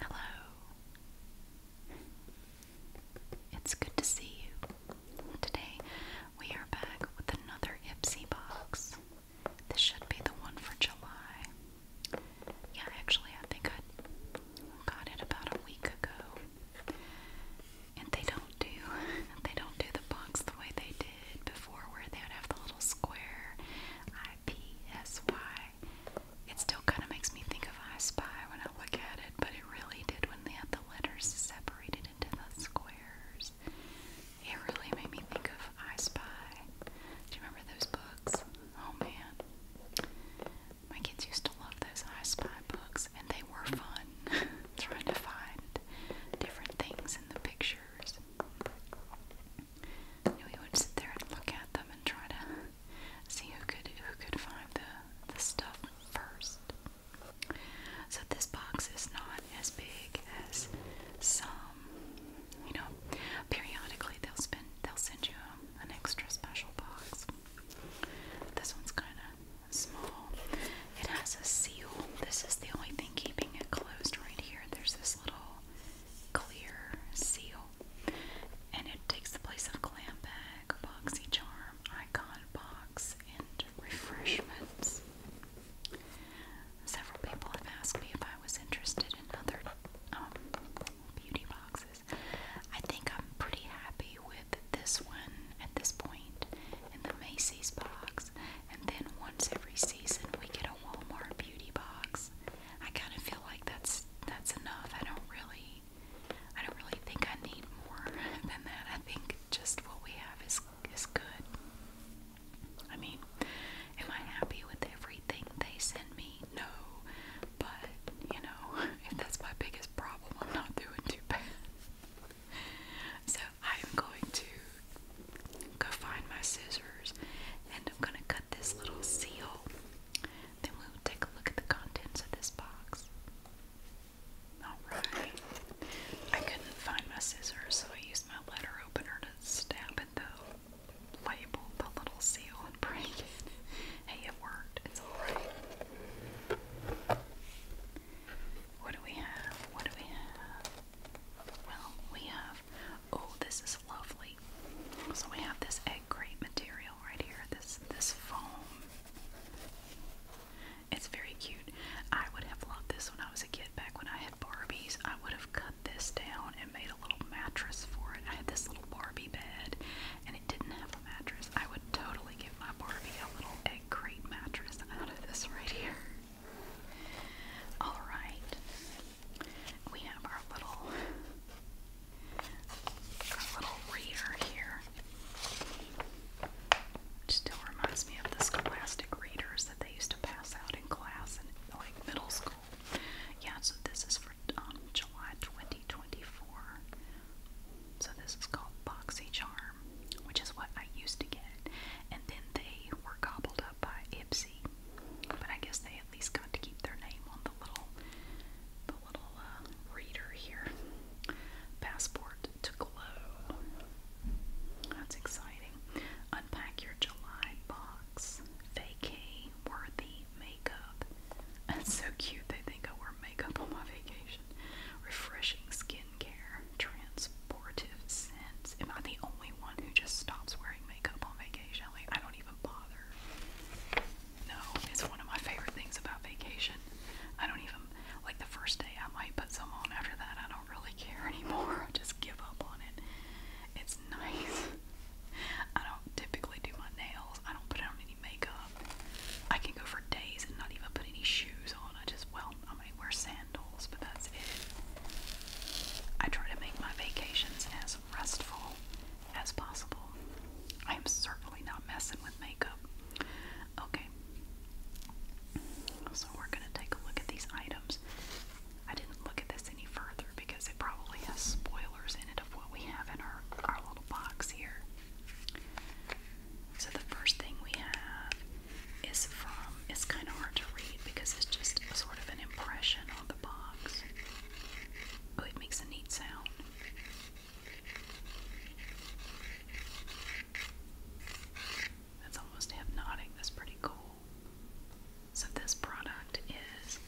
Hello. It's good to see you. Today we are back with another Ipsy box. This should be the one for July. Yeah, actually, I think I got it about a week ago. And they don't do they don't do the box the way they did before where they would have the little square I P S Y. It still kinda makes me think of I Spy when I look at it, but it really did when they had the letters separated into the squares. It really made me think of I Spy. Do you remember those books? Oh man. My kids used to love those I Spy books, and they were fun trying to find different things in the pictures. And we would sit there and look at them and try to see who could who could find the the stuff first. So this box is not as big as some. You know, periodically they'll spend they'll send you an extra special box. This one's kind of small. It has a seal. This is the only thing keeping it closed right here. There's this little clear seal. And it takes the place of glam bag, boxy charm, icon box, and refreshments. Several people have asked me if I was interested in other um, beauty boxes. I think I'm pretty happy with with this one at this point in the Macy's box, and then once every season we get a Walmart beauty box. I kind of feel like that's that's enough. I don't really, I don't really think I need more than that. I think just what we have is is good. I mean, am I happy with everything they send me? No, but you know, if that's my biggest problem, I'm not doing too bad. So I'm going to go find my scissors and I'm going to cut this little seal. Then we'll take a look at the contents of this box. Alright. I couldn't find my scissors, so I used my letter opener to stab at the label, the little seal, and break it. Hey, it worked. It's alright. What do we have? What do we have? Well, we have. Oh, this is lovely. So we have this egg crate material right here. This this foam. It's very cute. I would have loved this when I was a kid. Back when I had Barbies, I would have cut this down and made a little mattress for it. I had this little Barbie bed, and it didn't have a mattress. I would totally give my Barbie a little a great mattress out of this right here. Alright. We have our little our little reader here. It still reminds me of the scholastic readers that they used to pass out in class in like middle school. Yeah, so this is for um, July 2024. So this is called Boxy Charm which is what I used to get, and then they were gobbled up by Ipsy. But I guess they at least got to keep their name on the little, the little uh, reader here. Passport to glow. That's exciting. Unpack your July box. Vacay worthy makeup. That's so cute. They think I wear makeup on my vacation. Refreshing skin skincare transportive sense. Am I the only one who just stops wearing makeup on vacation? Like, I don't even bother. No, it's one of my favorite things about vacation. I don't even, like, the first day I might put some on. After that, I don't really care anymore. I just give up on it. It's nice. I don't typically do my nails, I don't put on any makeup. I can go for days and not even put any shoes on. I just, well, I may wear sandals but that's it. I try to make my vacations as restful as possible. I am certainly not messing with makeup. Okay. So we're going to take a look at these items. I didn't look at this any further because it probably has spoilers in it of what we have in our, our little box here. So the first thing we have is from is kind of hard to read because it's just sort of an impression on the box. Oh, it makes a neat sound. That's almost hypnotic. That's pretty cool. So, this product is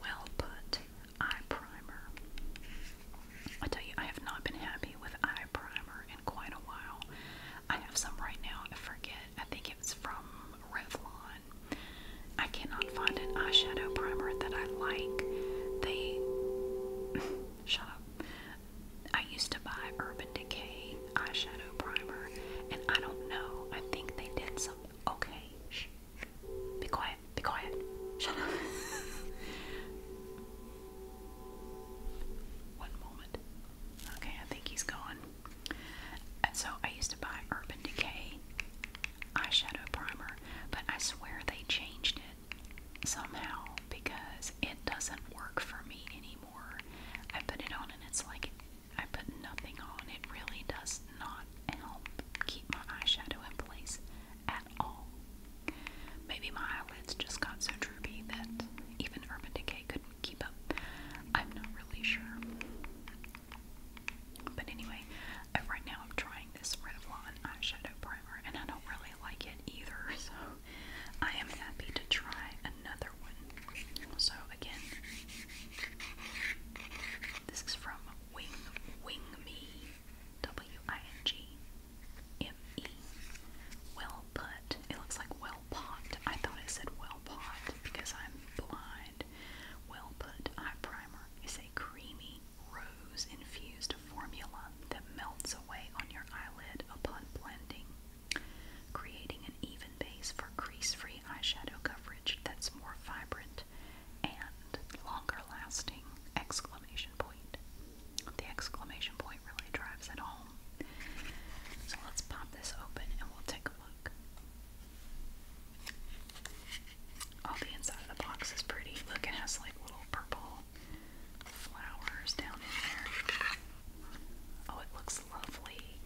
Well Put Eye Primer. I tell you, I have not been happy with eye primer in quite a while. I have some right now. I forget. I think it's from Revlon. I cannot find an eyeshadow primer that I like. They shut up. I used to buy Urban Decay eyeshadow primer, and I don't know. I think they did some. Okay, Be quiet. Be quiet. Shut up. One moment. Okay, I think he's gone. so I used to buy Urban Decay eyeshadow primer, but I swear they changed it somehow because it doesn't work for me anymore. I put it on and it's like I put nothing on. It really does not help keep my eyeshadow in place at all. Maybe my eyelids just got so droopy that even Urban Decay couldn't keep up. I'm not really sure. But anyway, uh, right now I'm trying this Revlon eyeshadow primer and I don't really like it either, so I am happy to try another one. So again, this is from Wing Wing Me W I N G M-E. Well put. It looks like well pot. I thought I said well pot because I'm blind. Well put eye primer is a creamy rose infused formula that melts away on your eyelid upon blending, creating an even base for crease-free eyeshadow coverage that's more vibrant and longer lasting exclamation point. The exclamation point really drives it home. So let's pop this open and we'll take a look. Oh, the inside of the box is pretty. Look, it has like little purple flowers down in there. Oh, it looks lovely.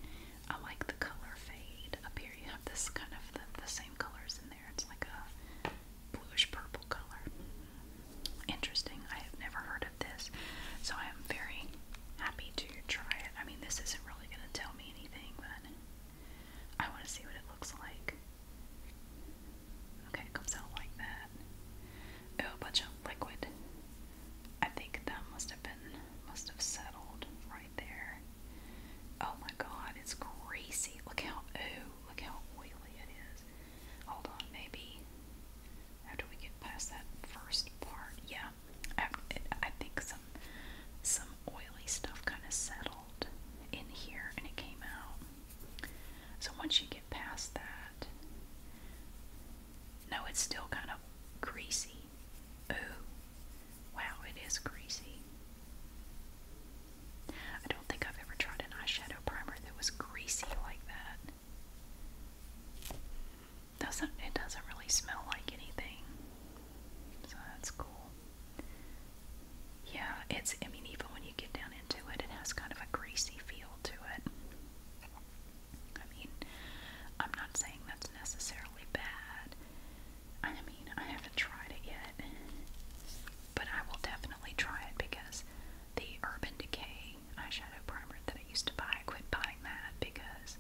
I like the color fade up here. You have this kind of the, same colors in there. It's like a bluish purple color. Interesting. I have never heard this. So I am very happy to try it. I mean, this isn't really going to tell me anything, but I want to see what it looks like. Okay, comes out like that. Oh, a bunch of liquid. I think that must have been, must have settled right there. Oh my god, it's greasy. Look how, oh, look how oily it is. Hold on, maybe after we get past that first part, yeah, I, think some some oily stuff kind of settled in here and it came out. So once you get past that, no, it's still kind of greasy. Ooh, wow, it is greasy. I don't think I've ever tried an eyeshadow primer that was greasy like that. Doesn't it doesn't really smell like anything. So that's cool. Yeah, it's I mean even when you get down into it, it has kind of a greasy feel to it. I mean, I'm not saying that's necessarily bad. I mean, I haven't tried it yet, but I will definitely try it because the Urban Decay eyeshadow primer that I used to buy. I quit buying that because,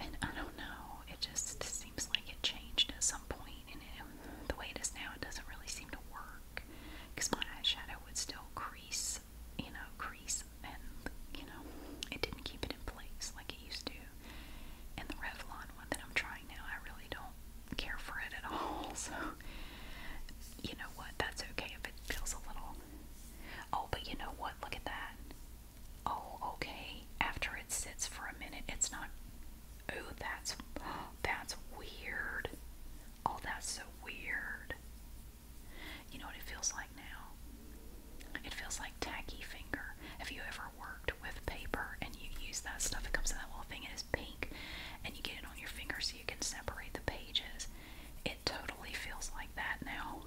and I don't know, it just seems like it changed at some point, and it, the way it is now, it doesn't really seem to work because my eyeshadow would still crease, you know, crease, and you know, it didn't keep it in place like it used to. And the Revlon one that I'm trying now, I really don't care for it at all, so you know what? That's okay if it feels a little. Oh, but you know what? Look at that. Oh, okay. After it sits for a minute, it's not. Oh, that's that's weird. Oh, that's so weird. You know what it feels like now? It feels like tacky finger. Have you ever worked with paper and you use that stuff? It comes in that little thing. It is pink, and you get it on your finger so you can separate the pages. It totally feels like that now.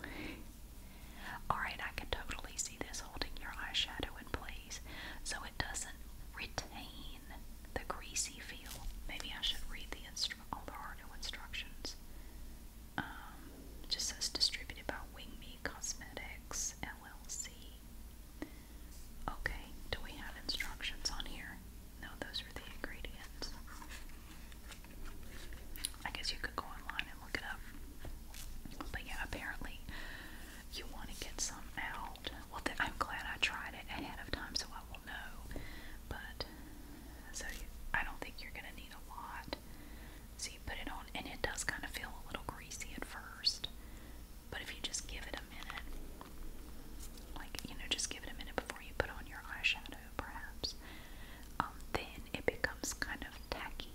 Alright, I can totally see this holding your eyeshadow in place so it doesn't retain the greasy feel. Maybe I should read the instru all there are no instructions. Um, it just says distributed by Wing Me Cosmetics LLC. Okay, do we have instructions on here? No, those are the ingredients. I guess you could go online and look it up. But yeah, apparently you want to get some out. Well, I'm glad I tried it ahead of time so I will know. But so I don't think you're going to need a lot. So you put it on, and it does kind of feel a little greasy at first. But if you just give it a minute, like, you know, just give it a minute before you put on your eyeshadow, perhaps, um, then it becomes kind of tacky.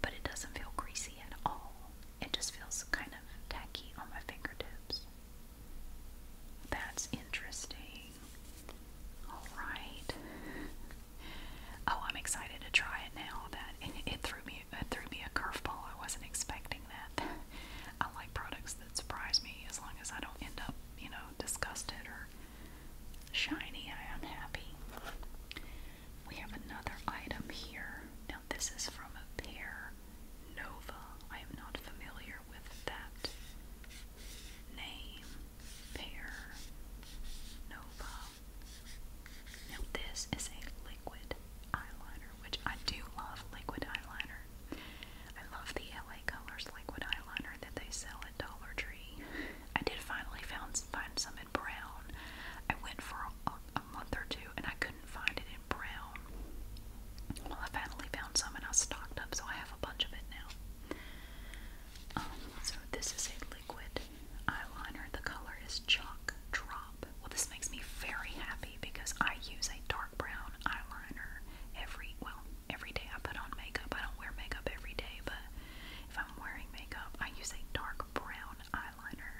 But it doesn't feel greasy at all. It just feels kind of tacky on my fingertips. That's interesting. Alright. Oh, I'm excited to try it now. That it, it threw me it threw me a curveball. I wasn't expecting that. I like products surprise me as long as I don't end up, you know, disgusted or shiny. I am happy. We have another item here. Now, this is from a pair, Nova. I am not familiar with that name. Pear Nova. Now, this is a liquid eyeliner, which I do love liquid eyeliner. I love the colors liquid eyeliner that they sell at Dollar Tree. I did finally found find some in brown. I went for a, month or two and I couldn't find it in brown. Well, I finally found some and I stocked up, so I have a bunch of it now. Um, so this is a liquid eyeliner. The color is Chalk Drop. Well, this makes me very happy because I use a dark brown eyeliner every well every day I put on makeup. I don't wear makeup every day, but if I'm wearing makeup, I use a dark brown eyeliner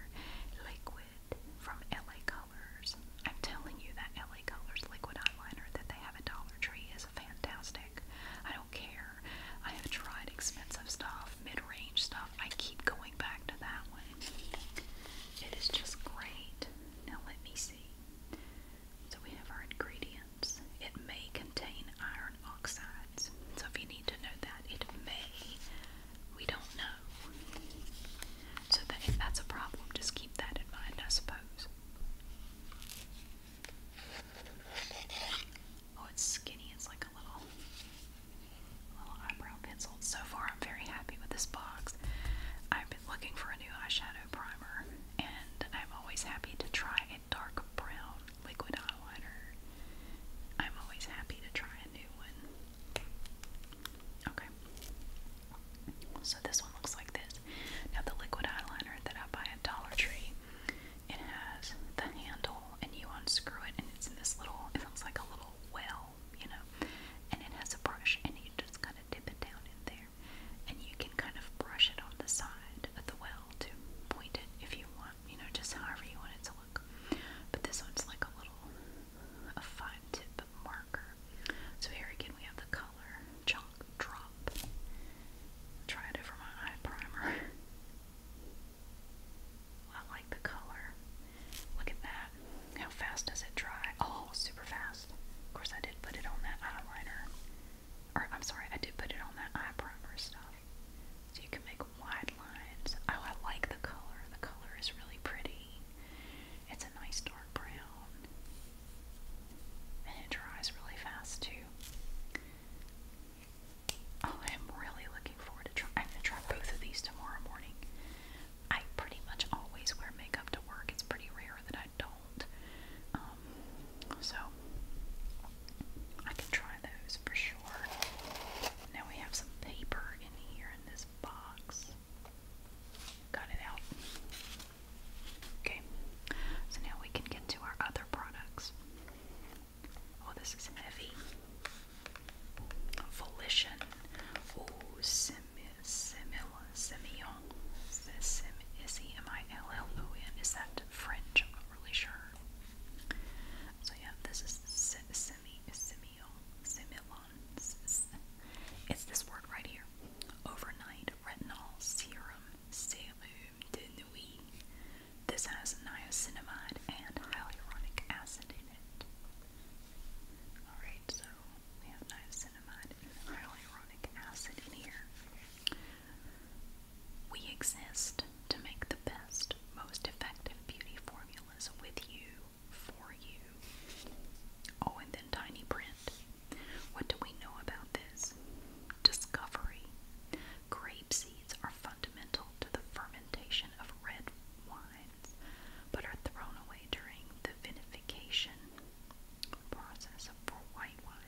liquid from LA Colors. I'm telling you that LA Colors liquid eyeliner that they have at Dollar Tree is fantastic. I don't care. I have tried expensive stuff, mid-range stuff. I keep going back to that one. It is just great. Now let me see. So we have our ingredients. It may contain iron oxides. So if you need to know that, it may. We don't know. So that, if that's a problem, just keep that in mind, I suppose. Oh, it's skinny. It's like a little, little eyebrow pencil. So far, I'm very happy with this box. I've been looking for a new eyeshadow primer, and I'm always happy to try a dark brown liquid eyeliner. I'm always happy to try a new one. Okay. So this one looks like this. Now the liquid eyeliner that I buy at Dollar Tree, it has the handle and you unscrew it and it's in this little, it looks like a little well, you know, and it has a brush and you just kind of dip it down in there. And you can kind of brush it on the side of the well to point it if you want, you know, just however you want it to look. But this one's like a little a fine tip marker. So here again we have the color chunk drop. Try it over my eye primer. I like the color. Look at that. How fast does it dry? Oh, super fast. Of course I did put it on that eyeliner. Or, I'm sorry, I did put it on that eye primer stuff. So you can make wide lines. Oh, I like the color. The color is really pretty. It's a nice dark brown. And it dries really fast, too. Oh, I am really looking forward to try. I'm going to try both of these tomorrow morning. I pretty much always wear makeup to work. It's pretty rare that don't. Um, so I can try those for sure. Now we have some paper in here in this box. Got it out. Okay, so now we can get to our other products. Oh, this is heavy. Volition. Oh, semi, semi Semillon. S-E-M-I-L-L-O-N. Is that French? I'm not really sure. So yeah, this is Semillon. It's this word right here. Overnight retinol serum serum de nuit. This has niacinamide and hyaluronic acid in it. Alright, so we have niacinamide and hyaluronic acid in here. We exist to make the best, most effective beauty formulas with you, for you. Oh, and then tiny print. What do we know about this? Discovery. Grape seeds are fundamental to the fermentation of red wines, but are thrown away during the vinification process for white wine.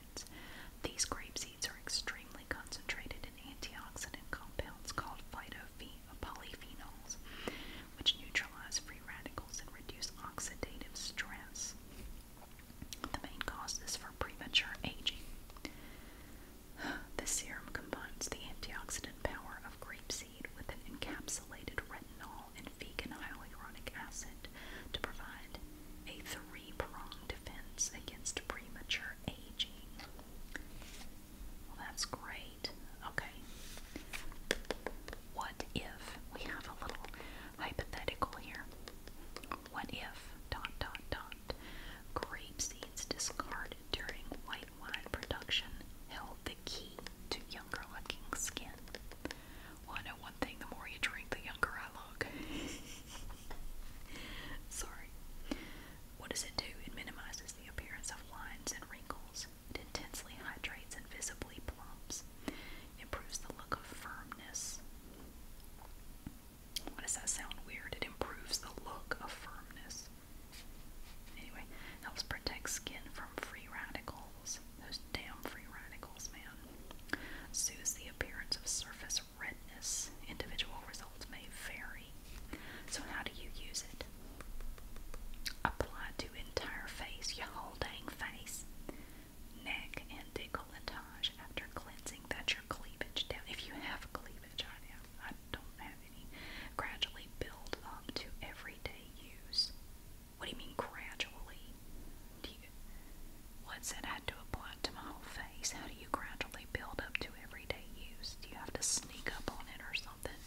These grape seeds are extremely concentrated in antioxidant compounds called polyphenols, which neutralize free radicals and reduce oxidative stress. The main cause is for premature aging. The serum combines the antioxidant power of grape seed with an encapsulated retinol and vegan hyaluronic acid to provide a three pronged defense against premature aging. Well, that's great. Okay. What if we have a little hypothetical here? What if dot dot dot grape seeds discarded during white wine production held the key to younger looking skin? I know one thing the more you drink, the younger I look. Sorry. What does it do? It minimizes the appearance of lines and wrinkles. It intensely hydrates and visibly plumps. Improves the look of firmness. Why does that sound weird? It improves the look of firmness. Anyway, helps protect skin from free radicals. Those damn free radicals, man. Soothes the appearance of surface redness. Individual results may vary. So, how do you use it? Apply to entire face, your whole dang face, neck, and decolletage after cleansing. That's your cleavage If you have cleavage, I have, I don't have any. Gradually build up to everyday use. What do you mean gradually? What's it had to apply to my whole face? How do you gradually build up to everyday use? Do you have to sneak up on it or something?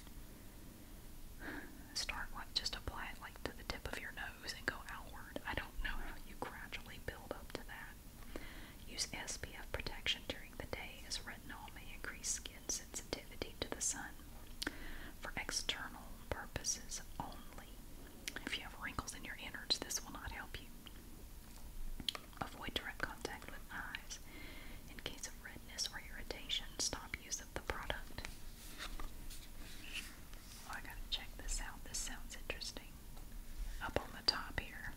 Start like just apply it like to the tip of your nose and go outward. I don't know how you gradually build up to that. Use SPF protection during the day as retinol may increase skin sensitivity to the sun for external purposes only. If you have wrinkles in your innards, this will not help you. Avoid direct contact with eyes. In case of redness or irritation, stop use of the product. Oh, I gotta check this out. This sounds interesting. Up on the top here,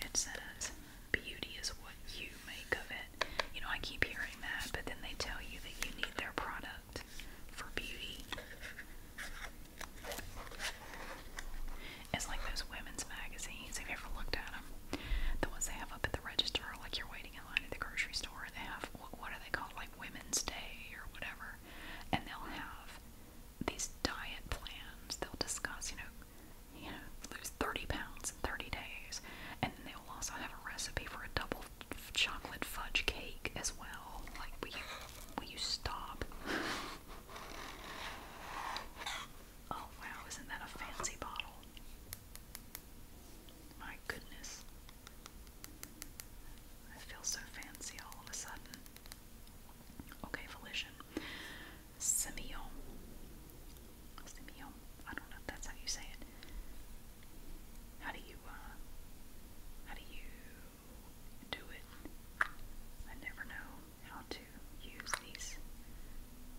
it says, Beauty is what you make of it. You know, I keep hearing that, but then they tell you that you need their product for beauty. It's like those women's magazines. Have you ever looked at them? The ones they have up at the register, like you're waiting in line at the grocery store, and they have what are they called, like Women's Day or whatever, and they'll have these diet plans. They'll discuss, you know, you know, lose 30 pounds in 30 days, and then they'll also have a recipe for a double chocolate fudge cake as well. Like, will you, will you stop? Oh wow, isn't that a fancy bottle? My goodness. I feel so fancy all of a sudden. Okay, Volition. Semillon. Semillon. I don't know that's how you say it. How do you, uh, how do you do it. I never know how to use these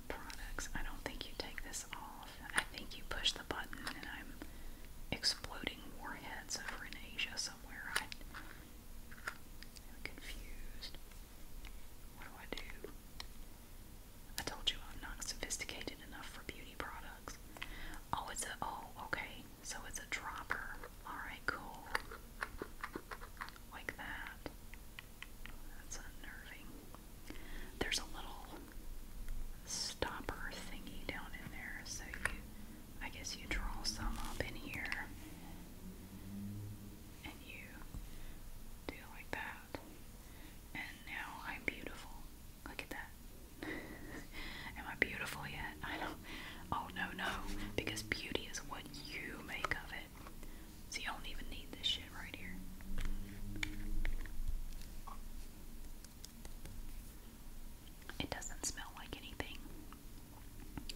products. I don't think you take this off. I think you push the button and I'm exploding warheads over in Asia somewhere. I, I'm confused. What do I do? I told you I'm not sophisticated enough for beauty products. Oh, it's a, oh, okay. So it's a dropper. Alright, cool. Like that. That's unnerving. There's a little stopper thingy down in there, so you I guess you draw some up in here and you do like that. And now I'm beautiful. Look at that. Am I beautiful yet? I do Oh no, no. Because beauty is what you make of it. See, I don't even need this shit right here. It doesn't smell like anything.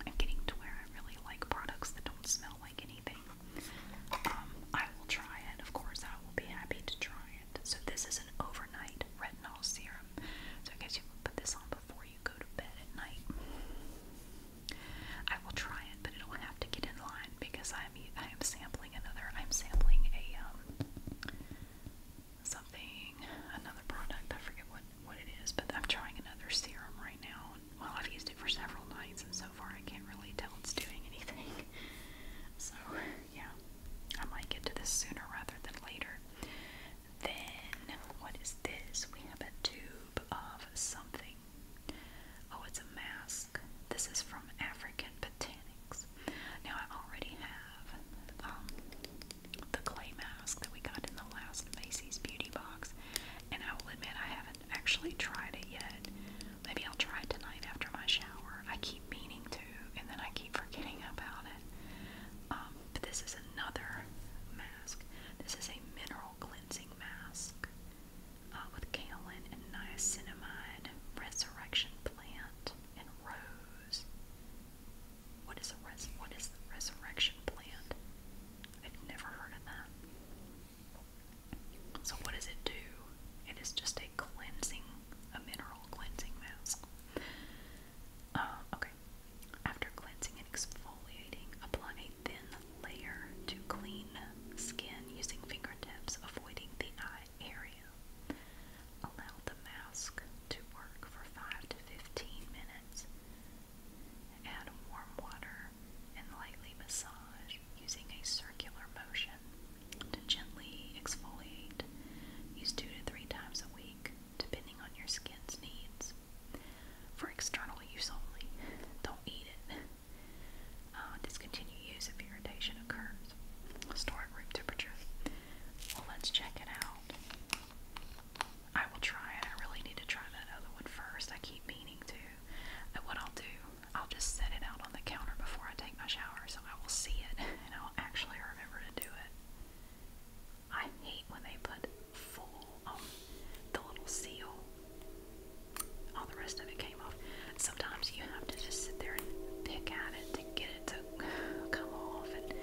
I'm getting to where I really like products that don't smell like anything. Um, I will try it, of course. I will be happy to try it. So, this is an overnight red retinol serum. So I guess you can put this on before you go to bed at night. I will try it, but it'll have to get in line because I'm I am sampling another. I'm sampling a um something another product. I forget what what it is, but I'm trying another serum right now. Well, I've used it for several nights, and so far I can't really tell it's doing anything. So yeah, I might get to this sooner rather than later. Then, what is this? We have a tube of something. Oh, it's a mask. This is from African Botanics. Now, I already have um, the clay mask that we got in the last Macy's Beauty Box, and I will admit I haven't actually tried it yet. Maybe I'll try it tonight after my shower. I keep meaning to, and then I keep forgetting about it. Um, but this is another mask. This is a mineral cleansing mask uh, with kaolin and niacinamide, resurrection plant, and rose. What is a resurrection plant? I've never heard of that. So what does it do? It is just a cleansing, a mineral cleansing mask. Oh, okay. After cleansing and exfoliating, apply a thin layer to clean skin using fingertips, avoiding the eye area. Allow the mask to work for 5 to 15 minutes. Add warm water and lightly massage using a circular motion to gently exfoliate. Use 2 to 3 times a week depending on your skin's needs. For external use only, don't eat it. Uh, discontinue use if irritation occurs. Store at room temperature. Well, let's check it out. I will try it. I really need to try that other one first. I keep meaning to. But what I'll do, I'll just set it out on the counter before I take my shower so I will see it and I'll actually remember to do it. I hate when they put full on the little seal. All the rest of it came off. Sometimes you have to just sit there and pick at it to get it to come off, and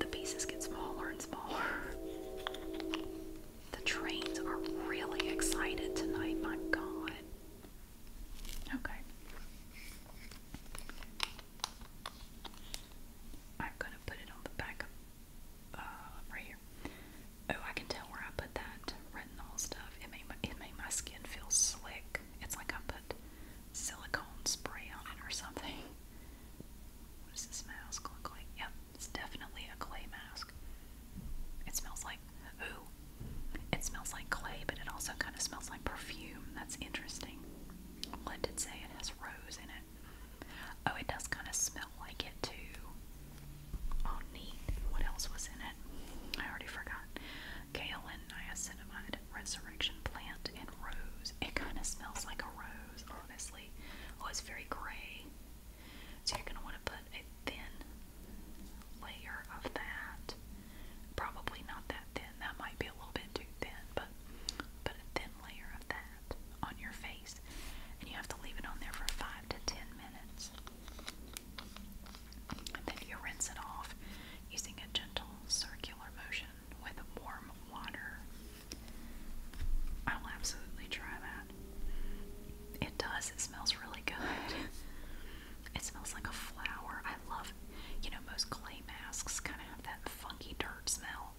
the pieces get smaller and smaller. The trains are really excited tonight, my god. Okay. I'm gonna put it on the back uh, right here. Oh, I can tell where I put that retinol stuff. It made my skin feel slick. It's like I put silicone spray on it or something. What does this mask look like? Yep, it's definitely a clay mask. It smells like ooh. It smells like clay, but it also kind of smells like perfume. That's interesting. What did say it has rose in it it? Oh, it does kind of smell like it too. Oh, neat. What else was in it? I already forgot. Kale niacinamide, resurrection plant, and rose. It kind of smells like a rose, honestly. Oh, it's very gray. So you're going to want to put a thin layer of that. Probably not that thin. That might be a little bit too thin, but put a thin layer of that on your face, and you have to leave it on there for five to ten minutes. And then you rinse it off using a gentle circular motion with warm water. I'll absolutely try that. It does, it smells really good. It smells like a flower. I love, you know, most clay masks kind of have that funky dirt smell.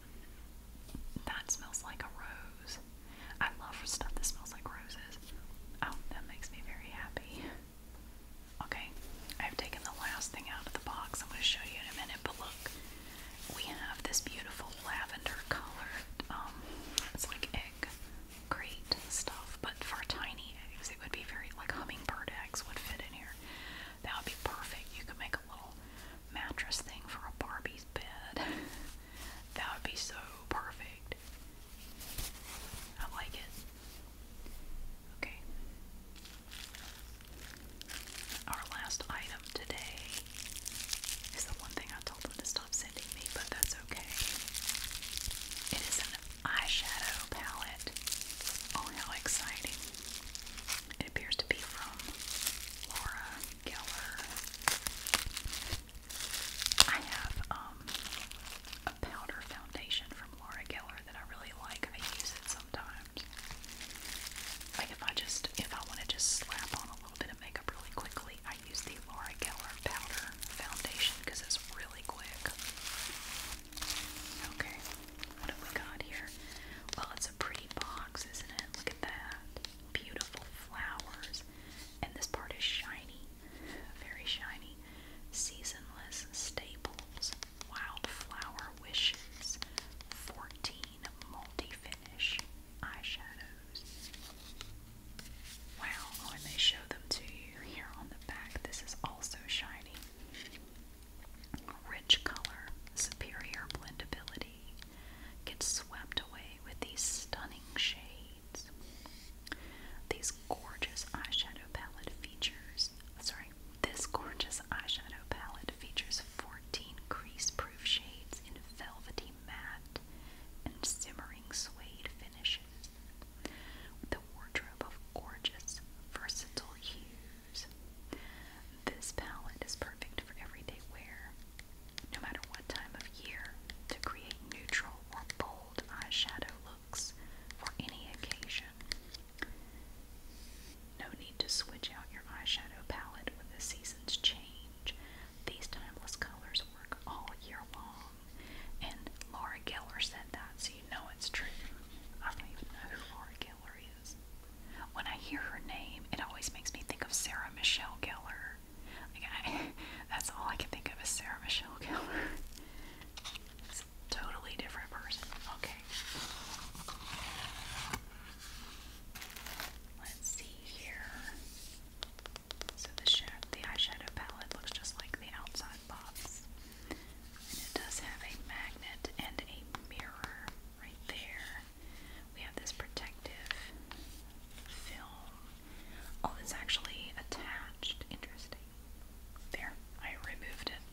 That smells like a rose. I love stuff that smells like roses. Oh, that makes me very happy. Okay, I've taken the last thing out of the box. I'm going to show you in a minute, but look. We have this beautiful lavender colored, um, it's like egg crate stuff, but for tiny eggs. It would be very, like hummingbird eggs would fit in here. That would be perfect. You could make a little mattress thing for a Barbie's bed. that would be so perfect. I like it. Okay. Our last item today is the one thing I told them to stop sending me, but that's okay. It is an eyeshadow palette. Oh, how exciting! It appears to be from Laura Geller. I have um, a powder foundation from Laura Geller that I really like. I use it sometimes. Like if I just, if I want to just slap on a little bit of makeup really quickly, I use the Laura Geller powder foundation because it's really quick. Okay. What have we got here? Well, it's a pretty box, isn't it? Look at that. Beautiful flowers. And this part is shiny. Very shiny. Seasonless staples. Wildflower wishes. 14 multi-finish eyeshadows. Wow, oh, and they show them to you here on the back. This is also shiny. Rich color, superior blendability gets swept away with these stunning shades. These gorgeous eyeshadow palette features, sorry, this gorgeous eyeshadow palette features 14 crease proof shades in velvety matte and simmering suede finishes. The wardrobe of gorgeous, versatile hues this palette is perfect for everyday wear, no matter what time of year, to create neutral bold eyeshadow looks for any occasion. No need to switch out your eyeshadow palette when the seasons change. These timeless colors work all year long. And Laura Geller said that, so you know it's true. I don't even know who Laura Geller when I hear her name, it always makes me think of Sarah Michelle Gellar. Like that's all I can think of is Sarah Michelle Gellar. It's a totally different person. Okay. Let's see here. So the eyeshadow palette looks just like the outside box. it does have a magnet and a mirror right there. We have this protective film. Oh, it's actually attached. Interesting. There, I removed it.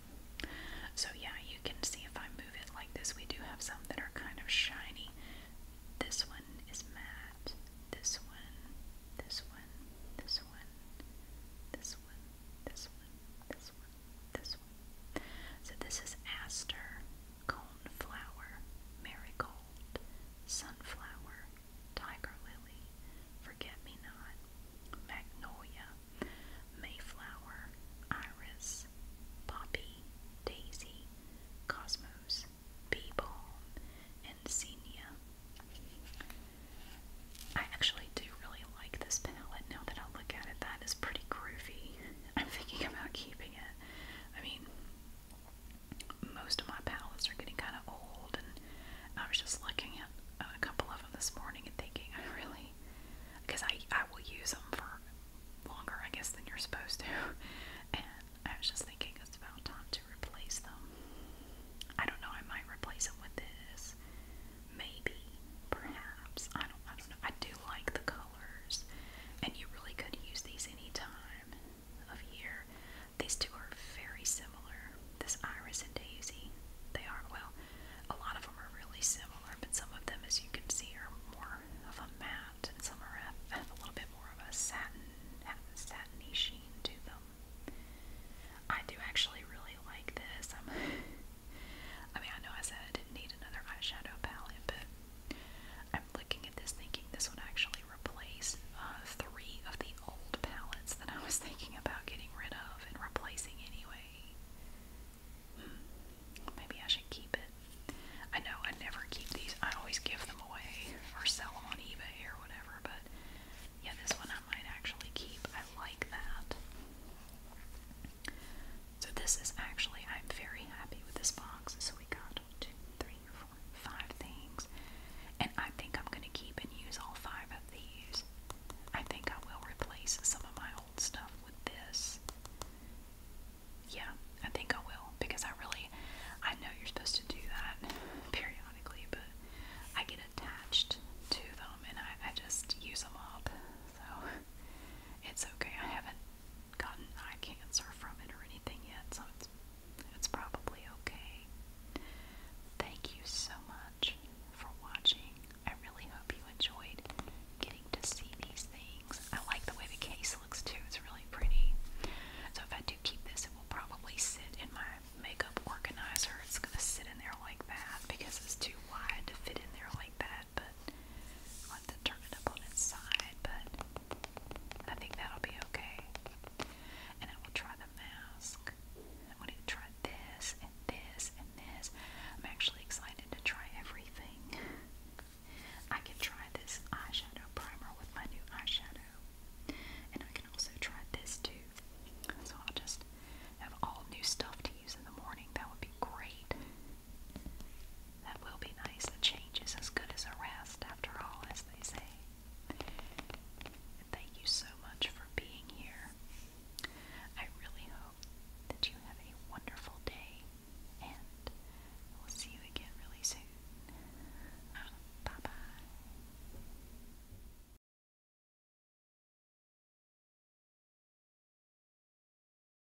So, yeah, you can see if I move it like this, we do have some that are kind of shiny. This one is matte. This one, this one, this one, this one, this one, this this So this is aster, coneflower, marigold, sunflower, tiger lily, forget-me-not, magnolia, mayflower, iris, poppy, daisy, cosmos, bee ball, and senia. I actually do really like this palette now that I look at it. That is pretty groovy. I'm thinking about keeping it. I mean, most of my palettes are getting kind of old, and I was just looking at a couple of them this morning and thinking, I really, because I, I will use them for longer, I guess, than you're supposed to. And I was just thinking it's about time to replace them. I don't know, I might replace them with this. Maybe, perhaps. I don't I don't know. I do like the color colors, and you really could use these any time of year. These two are very similar. This iris and daisy, they are, well, a lot of them are really similar, but some of them, as you can see, are more of a matte, and some are a, have a little bit more of a satin, satiny sheen to them. I do actually really like this. I'm, I mean, I know I said I didn't need another eyeshadow palette, but I'm looking at this thinking this would actually replace uh, three of the old palettes that I was thinking about getting rid of and replacing anyway. Hmm. Maybe I should keep it. I know I never keep these. I always give them away or sell them on eBay or whatever, but yeah, this one I might actually keep. I like that. So this is actually, I'm very happy with this box. So we got two, three, four, five things. And I think I'm going to keep and use all five of these. I think I will replace some of my old stuff with this. Yeah, I think I will because I really, I know you're supposed to do that periodically, but I get attached to them and I, I just use them up. So it's okay. I haven't gotten eye cancer from it or anything yet, so it's probably okay. Thank you so much for watching. I really hope you enjoyed getting to see these things. I like the way the case looks too. It's really pretty. So if I do keep this, it will probably sit in my makeup organizer. It's going to sit in there like that because it's too wide to fit in there like that but want to but I think that'll be okay. And I will try the mask. I want to try this and this and this. I'm actually excited to try everything. I can try this eyeshadow primer with my new eyeshadow. And I can also try this too. So I'll just have all new stuff to use in the morning. That would be great. That will be nice. A change is as good as a rest, after all, as they say. thank you so much for being here. I really hope that you have a wonderful day, and we'll see you again really soon. Um, bye bye.